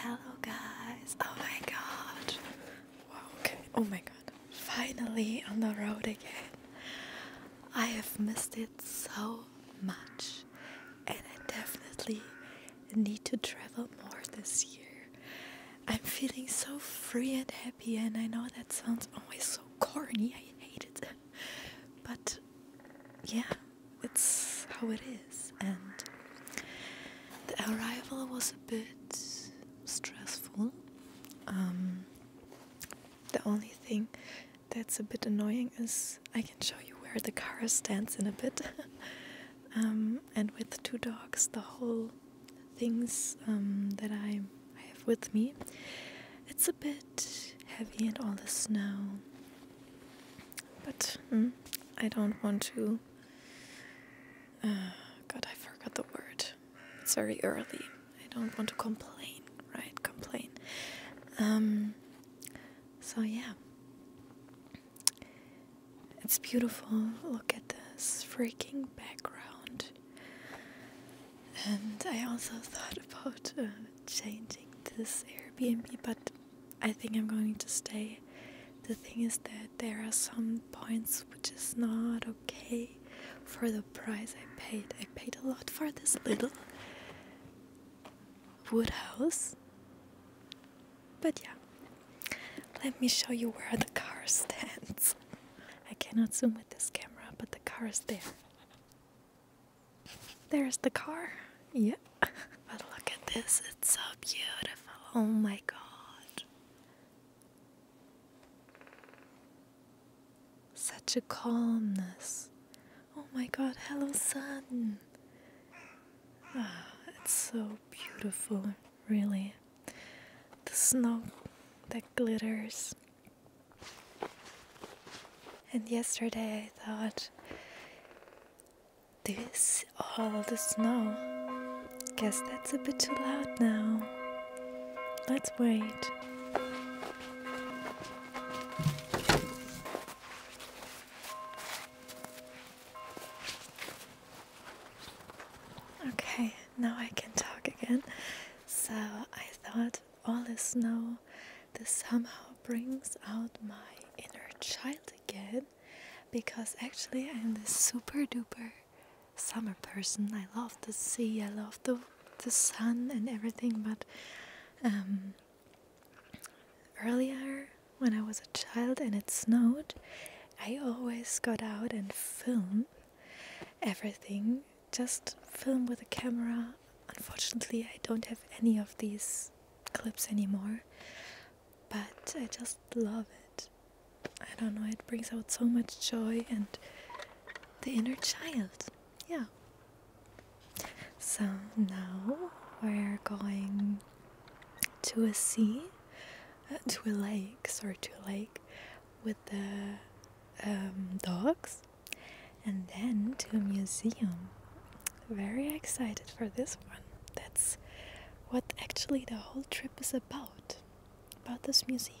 Hello guys! Oh my god! Wow, okay. Oh my god. Finally on the road again. I have missed it so much, and I definitely need to travel more this year. I'm feeling so free and happy, and I know that sounds always so corny, I hate it. But yeah, it's how it is, and the arrival was a bit stressful. Um, the only thing that's a bit annoying As I can show you where the car stands in a bit. Um, and with two dogs, the whole things um, that I, have with me, it's a bit heavy in all the snow. But mm, I don't want to. Uh, God, I forgot the word. It's very early. I don't want to complain, right? Complain. Um, so, yeah. It's beautiful. Look at this freaking background. And I also thought about uh, changing this Airbnb, but I think I'm going to stay. The thing is that there are some points which is not okay for the price I paid. I paid a lot for this little Woodhouse, But yeah, let me show you where the car stands. I cannot zoom with this camera, but the car is there. There's the car. Yep. But look at this, it's so beautiful. Oh my god. Such a calmness. Oh my god, hello sun! Ah, it's so beautiful, really. The snow that glitters. And yesterday I thought, this all the snow. Guess that's a bit too loud now. Let's wait. Okay, now I can talk again. So I thought all the snow this somehow brings out my inner child again because actually I'm this super duper summer person. I love the sea, I love the the sun and everything, but um, Earlier, when I was a child and it snowed, I always got out and filmed everything, just filmed with a camera. Unfortunately, I don't have any of these clips anymore, but I just love it. I don't know, it brings out so much joy and the inner child yeah. So now we're going to a sea, uh, to a lake, sorry, to a lake with the um, dogs, and then to a museum. Very excited for this one. That's what actually the whole trip is about about this museum.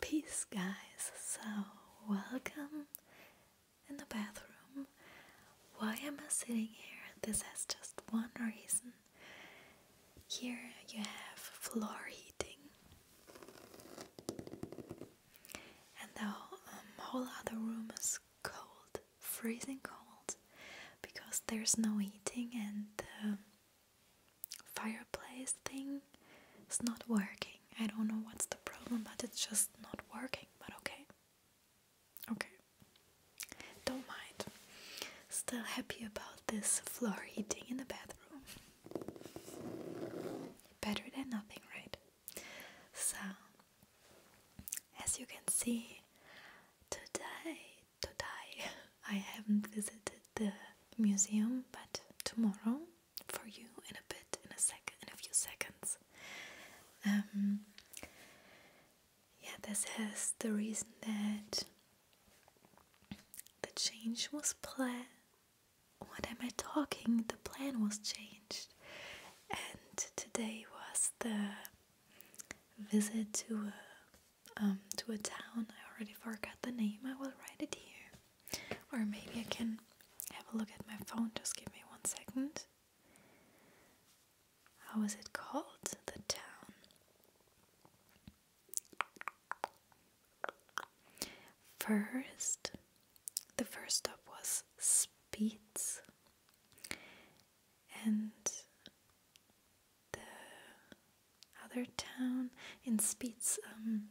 Peace, guys. So, welcome in the bathroom. Why am I sitting here? This has just one reason. Here you have floor heating, and the um, whole, other room is cold, freezing cold, because there's no heating and. Uh, fireplace thing is not working. I don't know what's the problem, but it's just not working. But okay, okay, don't mind. Still happy about this floor heating in the bathroom. Better than nothing, right? So, as you can see, today, today. I haven't visited the museum, but tomorrow for you in a bit, in a second, in a few seconds. Um, yeah, this has the reason that the change was planned. What am I talking? The plan was changed, and today was the visit to a um, to a town. I already forgot the name. I will write it here. Or maybe I can have a look at my phone. Just give me one second. How was it called? The town. First, the first stop was Speeds. And the other town in Spitz, um,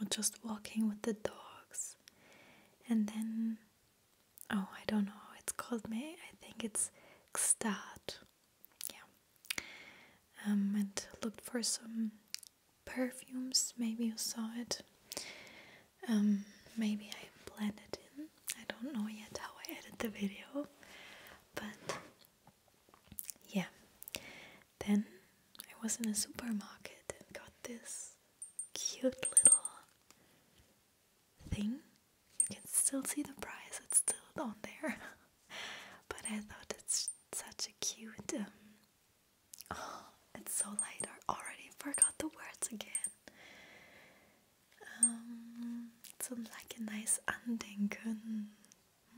or just walking with the dogs. And then, oh, I don't know how it's called, me. I think it's Gstaad. Yeah. Um, and looked for some perfumes. Maybe you saw it. Um, maybe I it in. I don't know yet how I edit the video, but yeah. Then I was in a supermarket and got this cute little thing. You can still see the price, it's still on there. but I thought it's such a cute. Um, oh, it's so light. I already forgot the words again. Um, it's like a nice Andenken.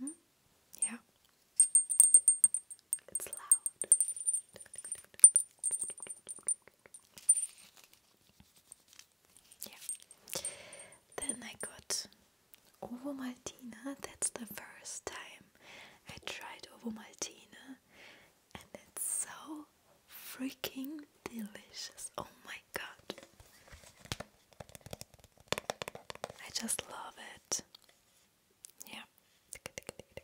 Hmm? Yeah. It's loud. Yeah. Then I got Ovo Maltina. That's the first time I tried Ovo Maltina, and it's so freaking delicious. Oh my god. I just love it. Yeah.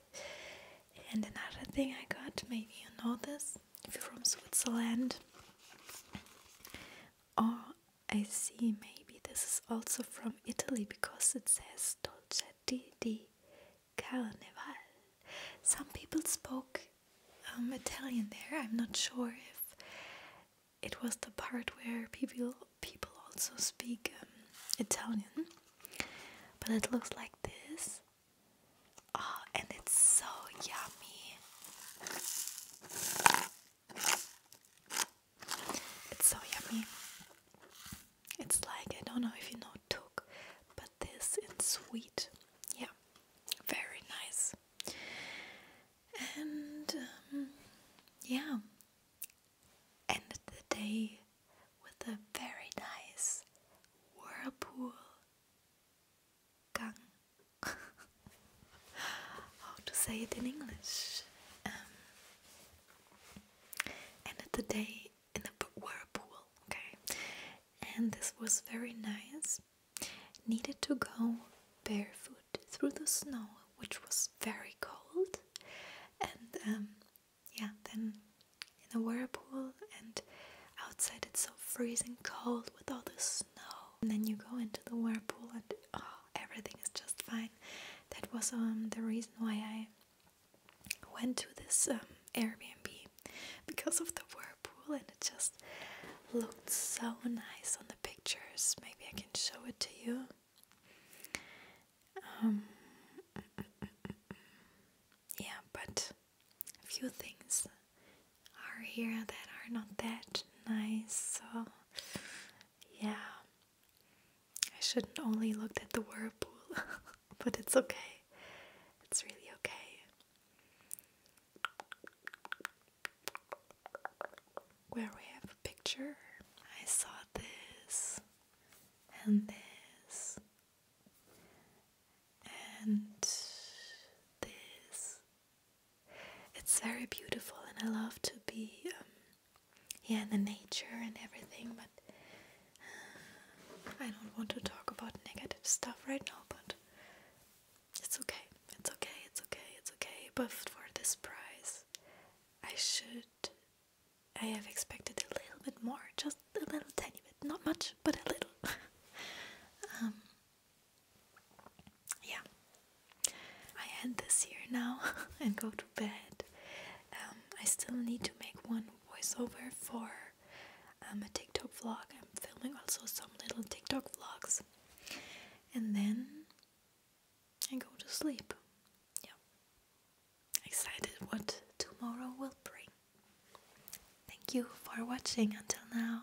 And another thing I got, maybe you know this, if you're from Switzerland. Oh, I see maybe this is also from Italy because it says Dolce di Carnival. Some people spoke um, Italian there. I'm not sure if it was the part where people people also speak um, Italian, but it looks like this. Oh, and it's so yummy. It's so yummy. It's like I don't know if you know tuk, but this is sweet. Yeah, very nice. And um, yeah, ended the day with a very nice whirlpool How to say it in English? Um, the day in a whirlpool, okay? And this was very nice. Needed to go barefoot through the snow, which was very cold, and um, yeah, then in a whirlpool, and outside it's so freezing cold with all the snow, and then you go into the whirlpool, and oh, everything is just fine. That was um, the reason why I went to this um, Airbnb because of the whirlpool, and it just looked so nice on the pictures. Maybe I can show it to you. Um, yeah, but a few things are here that are not that nice, so yeah, I shouldn't only look at the whirlpool, but it's okay, it's really okay where we have a picture. I saw this and this and this. It's very beautiful, and I love to be, um, yeah, in the nature and everything, but uh, I don't want to talk about negative stuff right now, but it's okay. It's okay, it's okay, it's okay. But for this price, I should. I have expected a little bit more, just a little tiny bit. Not much, but a little. um, yeah. I end this here now and go to bed. Um, I still need to make one voiceover for um, a TikTok vlog. I'm filming also some little TikTok vlogs. And then and go to sleep. Yeah. Excited what tomorrow will bring. Thank you for watching until now.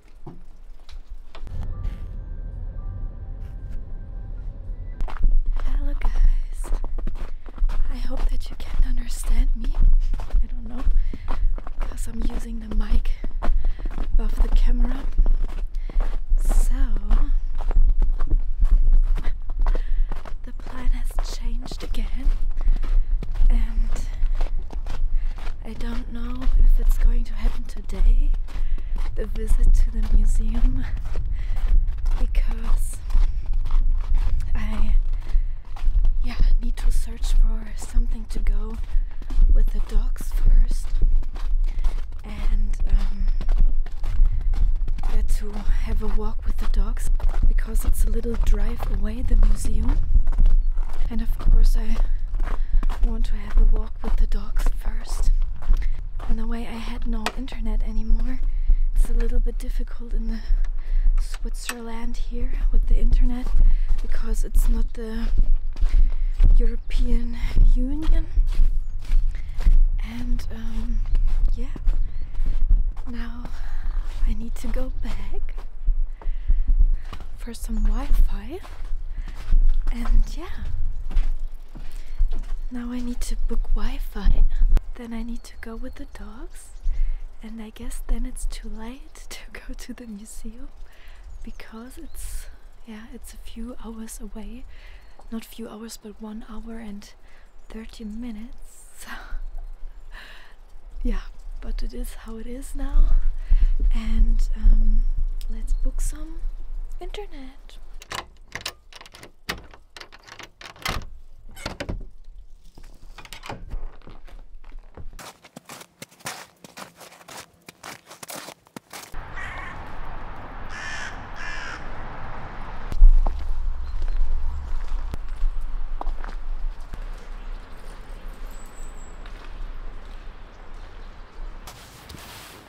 Hello guys. I hope that you can understand me. I don't know because I'm using the mic above the camera. So the plan has changed again and I don't know if it's going to happen today, the visit to the museum, because I yeah, need to search for something to go with the dogs first and um, yeah, to have a walk with the dogs because it's a little drive away the museum and of course I want to have a walk with the dogs first. and the way, I had no internet anymore. It's a little bit difficult in the Switzerland here with the internet because it's not the European Union. And um, yeah, now I need to go back for some Wi Fi. And yeah, now I need to book Wi-Fi. Then I need to go with the dogs. And I guess then it's too late to go to the museum because it's, yeah, it's a few hours away. Not few hours, but one hour and 30 minutes. yeah, but it is how it is now. And um, let's book some internet.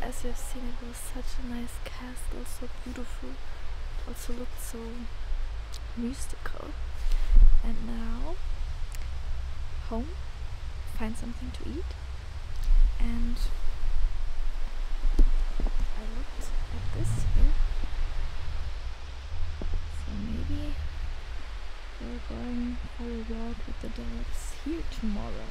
As you have seen, it was such a nice castle, so beautiful, also looked so mystical. And now, home, find something to eat, and I looked at this here. So maybe we're going for a walk with the dogs here tomorrow.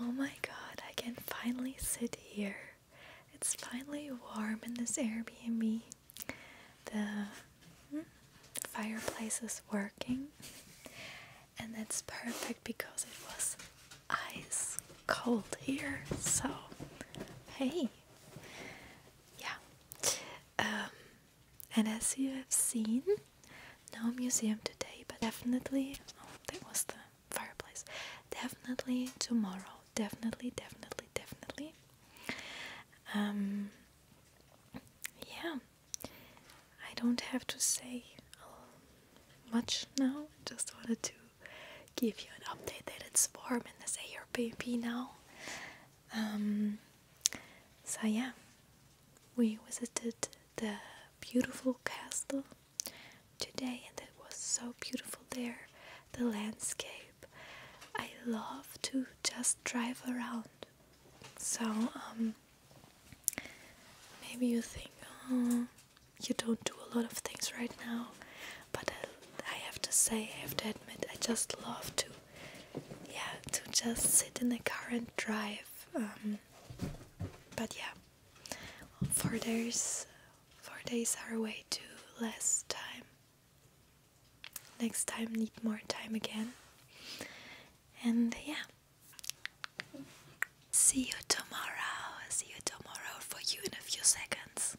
Oh my god, I can finally sit here. It's finally warm in this Airbnb. The hmm, fireplace is working, and that's perfect because it was ice cold here. So, hey, yeah. Um, and as you have seen, no museum today, but definitely. Oh, that was the fireplace. Definitely tomorrow. Definitely, definitely, definitely. Um, yeah, I don't have to say um, much now. I just wanted to give you an updated form in this ARPP now. Um, so yeah, we visited the beautiful castle today and it was so beautiful there, the landscape. I love to just drive around. So, um, maybe you think, oh, you don't do a lot of things right now but uh, I, have to say, I have to admit, I just love to, yeah, to just sit in the car and drive. Um, but yeah, four days, four days are way too less time. Next time, need more time again. And yeah, see you tomorrow. See you tomorrow for you in a few seconds.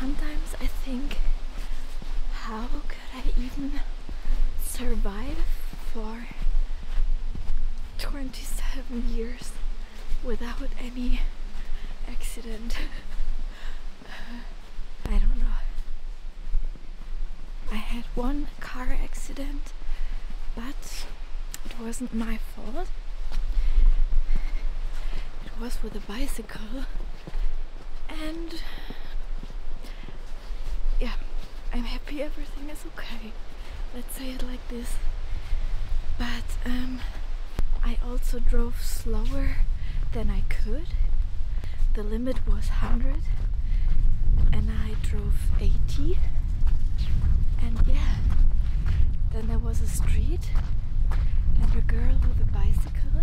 Sometimes I think, how could I even survive for 27 years? without any accident. I don't know. I had one car accident, but it wasn't my fault. It was with a bicycle and yeah, I'm happy everything is okay. Let's say it like this but um, I also drove slower than I could the limit was 100 and I drove 80 and yeah then there was a street and a girl with a bicycle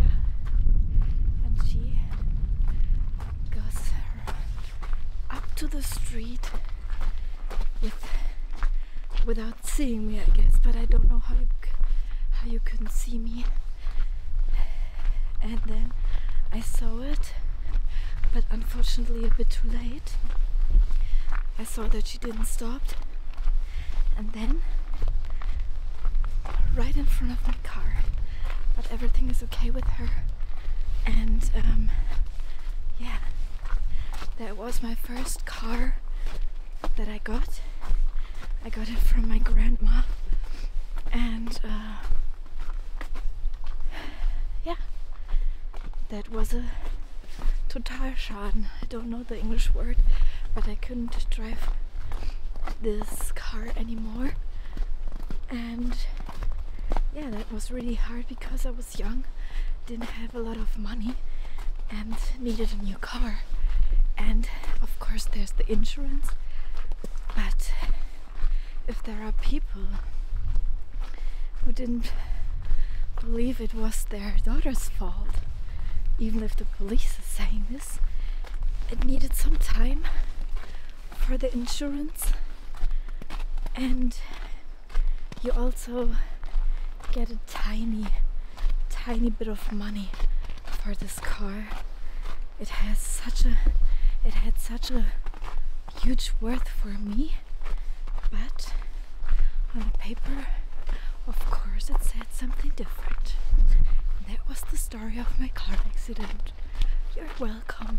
yeah and she goes up to the street without seeing me, I guess. But I don't know how you how you couldn't see me. And then I saw it, but unfortunately a bit too late. I saw that she didn't stop, and then right in front of my car. that everything is okay with her, and um, yeah, there it was my first car that I got. I got it from my grandma. And uh, yeah, that was a Totalschaden. I don't know the English word, but I couldn't drive this car anymore. And yeah, that was really hard because I was young, didn't have a lot of money and needed a new car. And of course there's the insurance. But if there are people who didn't believe it was their daughter's fault, even if the police is saying this, it needed some time for the insurance and you also get a tiny, tiny bit of money for this car. It has such a, it had such a huge worth for me, but on the paper, of course, it said something different. That was the story of my car accident. You're welcome.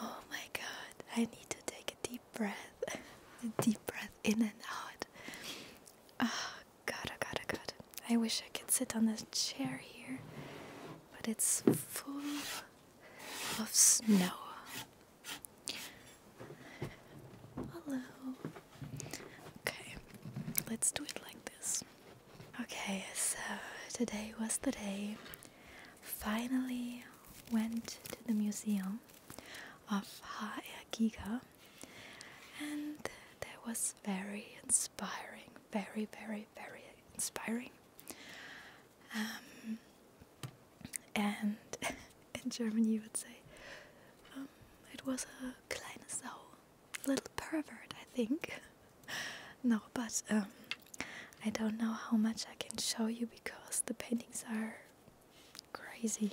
Oh my god, I need to take a deep breath. a deep breath in and out. Ah, oh god, oh god, god. I wish I could sit on this chair here, but it's full of snow. Hello. Okay, let's do it like this. Okay, so today was the day. Finally went to the museum of Haer and that was very inspiring, very, very, very inspiring. Um, and in German you would say, um, it was a kleines Sau little pervert, I think. no, but um, I don't know how much I can show you because the paintings are crazy,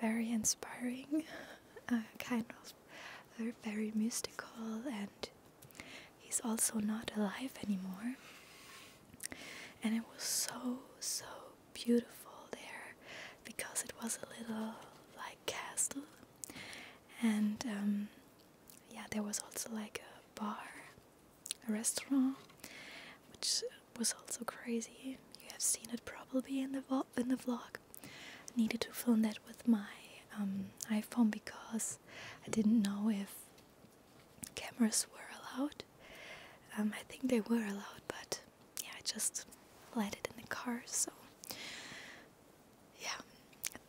very inspiring, uh, kind of very, very mystical, and he's also not alive anymore. And it was so, so beautiful there because it was a little like castle and um, yeah, there was also like a bar, a restaurant, which was also crazy. You have seen it probably in the in the vlog. needed to film that with my um, iPhone because I didn't know if cameras were allowed. Um, I think they were allowed, but yeah, I just let it in the car. So yeah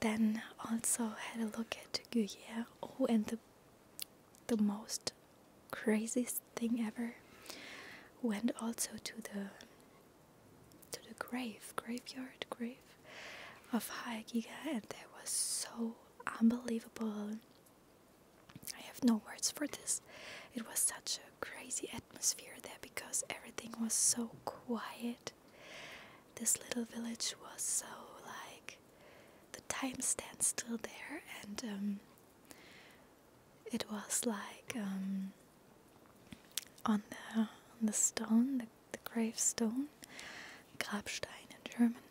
then also had a look at Gruyere oh and the the most craziest thing ever went also to the to the grave graveyard grave of Haegiga and that was so unbelievable I have no words for this it was such a crazy atmosphere there because everything was so quiet this little village was so like the time stands still there, and um, it was like um, on the the stone, the, the gravestone, Grabstein in German.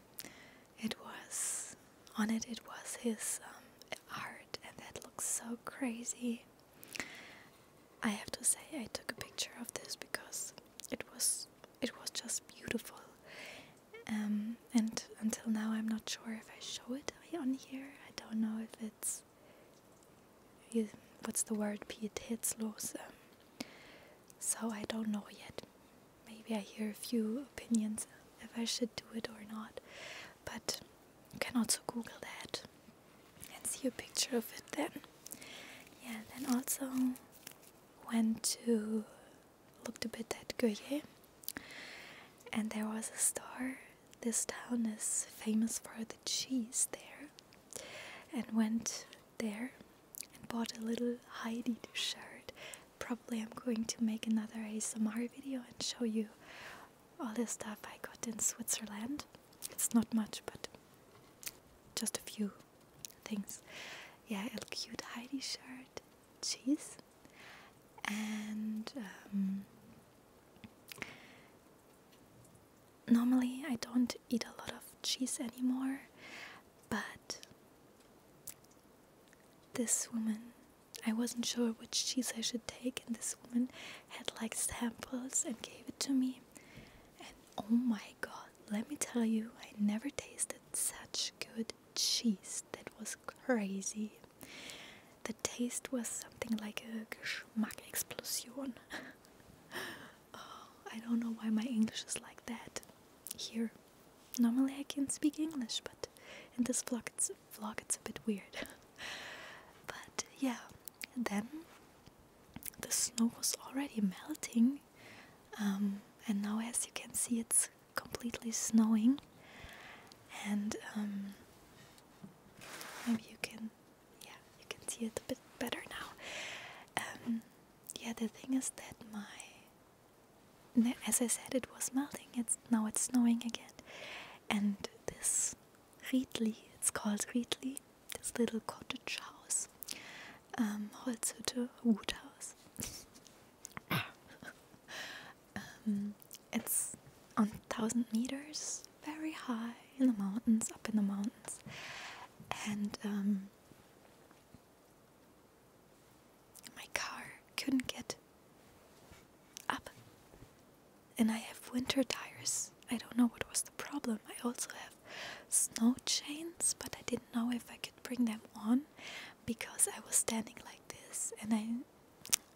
It was on it. It was his um, art, and that looks so crazy. I have to say I took a picture of this because it was it was just beautiful. Um, and until now, I'm not sure if I show it on here. I don't know if it's what's the word pietätslos. Um, so I don't know yet. Maybe I hear a few opinions if I should do it or not. But you can also Google that and see a picture of it then. Yeah, then also went to looked a bit at Goye and there was a store. This town is famous for the cheese there and went there and bought a little Heidi shirt. Probably I'm going to make another ASMR video and show you all the stuff I got in Switzerland. It's not much but just a few things. Yeah, a cute Heidi shirt, cheese, and um, normally I don't eat a lot of cheese anymore, but this woman. I wasn't sure which cheese I should take, and this woman had like samples and gave it to me. And oh my god, let me tell you, I never tasted such good cheese. That was crazy. The taste was something like a Geschmack explosion. Oh, I don't know why my English is like that here. Normally I can speak English, but in this vlog it's, vlog, it's a bit weird. but yeah, then the snow was already melting um, and now as you can see it's completely snowing and um, maybe you can yeah you can see it a bit better now um, yeah the thing is that my as I said it was melting it's now it's snowing again and this Riedli it's called Riedli this little cottage house ähm, Woodhouse. Ähm, it's on thousand meters, very high in the mountains, up in the mountains, and um, my car couldn't get up, and I have winter tires. I don't know what was the problem. I also have snow chains, but I didn't know if I could bring them on because I was standing like this, and I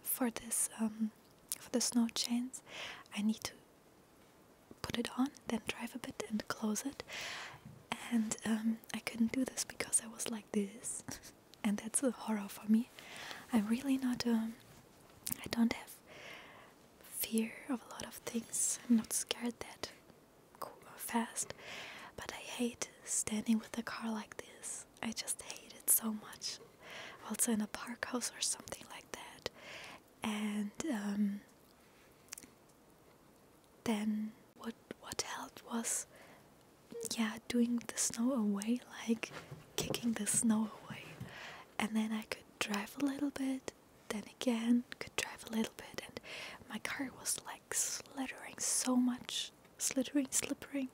for this um, for the snow chains, I need to put it on, then drive a bit and close it, and um, I couldn't do this because I was like this, and that's a horror for me. I'm really not um, I don't have fear of a lot of things. I'm not scared that cool fast, but I hate standing with a car like this. I just hate it so much. Also in a park house or something like that. And um, then what what helped was yeah doing the snow away like kicking the snow away and then I could drive a little bit then again could drive a little bit and my car was like slithering so much slithering slippering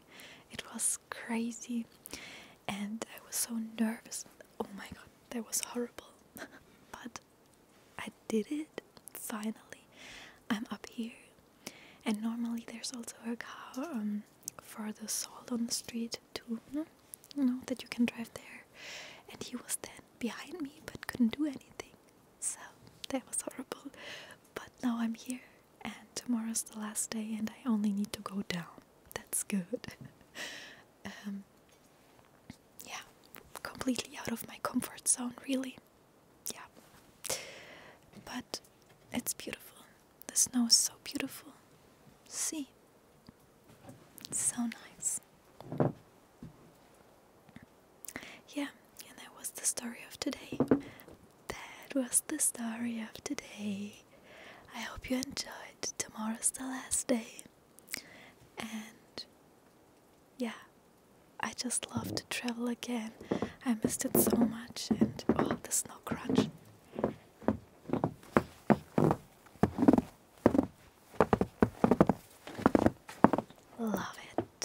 it was crazy and i was so nervous oh my god that was horrible but i did it finally i'm up here and normally there's also a car um, for the salt on the street too you know that you can drive there and he was then behind me but couldn't do anything. So that was horrible. But now I'm here, and tomorrow's the last day, and I only need to go down. That's good. um, yeah, completely out of my comfort zone, really. Yeah, but it's beautiful. The snow is so beautiful. See, it's so nice. Yeah, and that was the story of today. That was the story of today. I hope you enjoyed. Tomorrow's the last day. And yeah, I just love to travel again. I missed it so much. And oh, the snow crunch. Love it.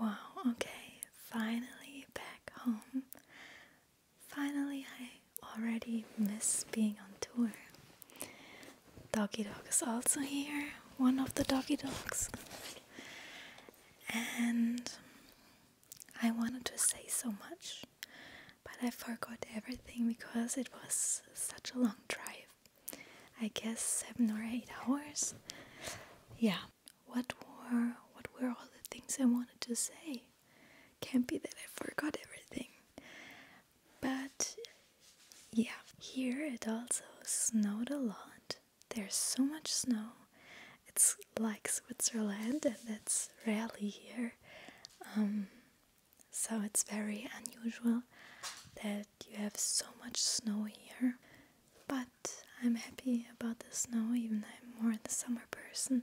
Wow, okay, finally back home. Finally, I already miss being on tour. Doggy dog is also here, one of the doggy dogs. And I wanted to say so much, but I forgot everything because it was such a long drive. I guess seven or eight hours. Yeah. What were what were all the things I wanted to say? Can't be that I forgot everything. But yeah, here it also snowed a lot. There's so much snow. It's like Switzerland, and it's rarely here. Um, so it's very unusual that you have so much snow here. But I'm happy about the snow, even though I'm more of a summer person.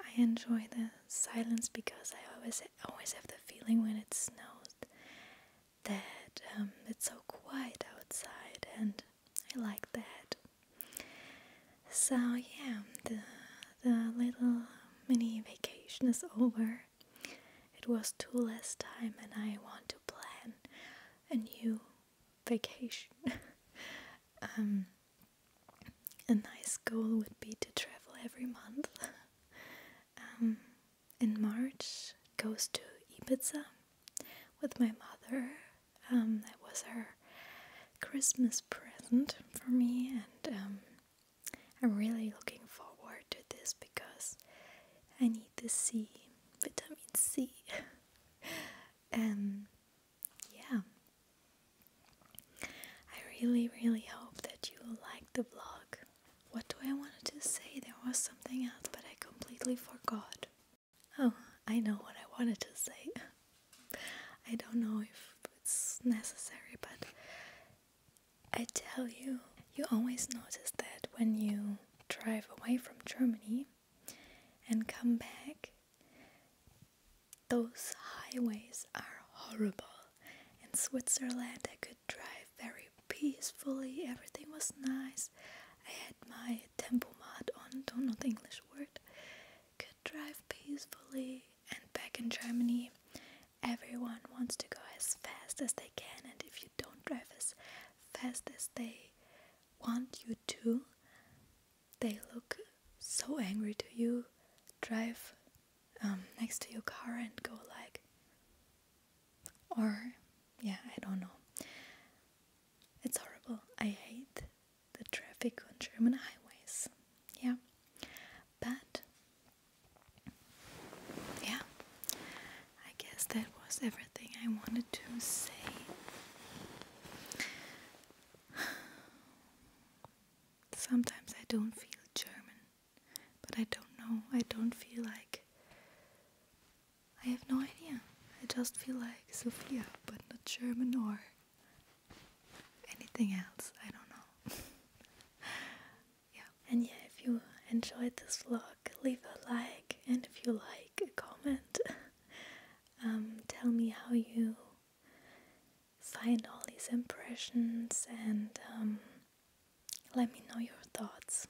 I enjoy the silence because I always I always have the feeling when it snows that um, it's so quiet outside, and I like that. So yeah, the the little um, mini vacation is over. It was too less time, and I want to plan a new vacation. Um, a nice goal would be to travel every month. in March goes to Ibiza with my mother. Um, that was her Christmas present for me, and um, I'm really looking forward to this because I need to see vitamin C. and yeah, I really, really hope that you like the vlog. What do I wanted to say? There was something else, but I completely forgot. Oh, I know what I wanted to say. I don't know if it's necessary, but I tell you, you always notice that when you drive away from Germany and come back, those highways are horrible. In Switzerland, I could drive very peacefully, everything was nice. I had my tempo mod on, don't know the English word. Could drive peacefully, and back in Germany, everyone wants to go as fast as they can, and if you don't drive as fast as they want you to, they look so angry to you. Drive um, next to your car and go like, or yeah, I don't know. It's horrible. I hate the traffic on German highways. Yeah, but yeah, I guess that was everything I wanted to say. Sometimes I don't feel German. But I don't know. I don't feel like. I have no idea. I just feel like Sophia, but not German or anything else. I don't know. yeah. And yeah, if you enjoyed this vlog, leave a like, and if you like, a comment. um, tell me how you find all these impressions and um, let me know your thoughts.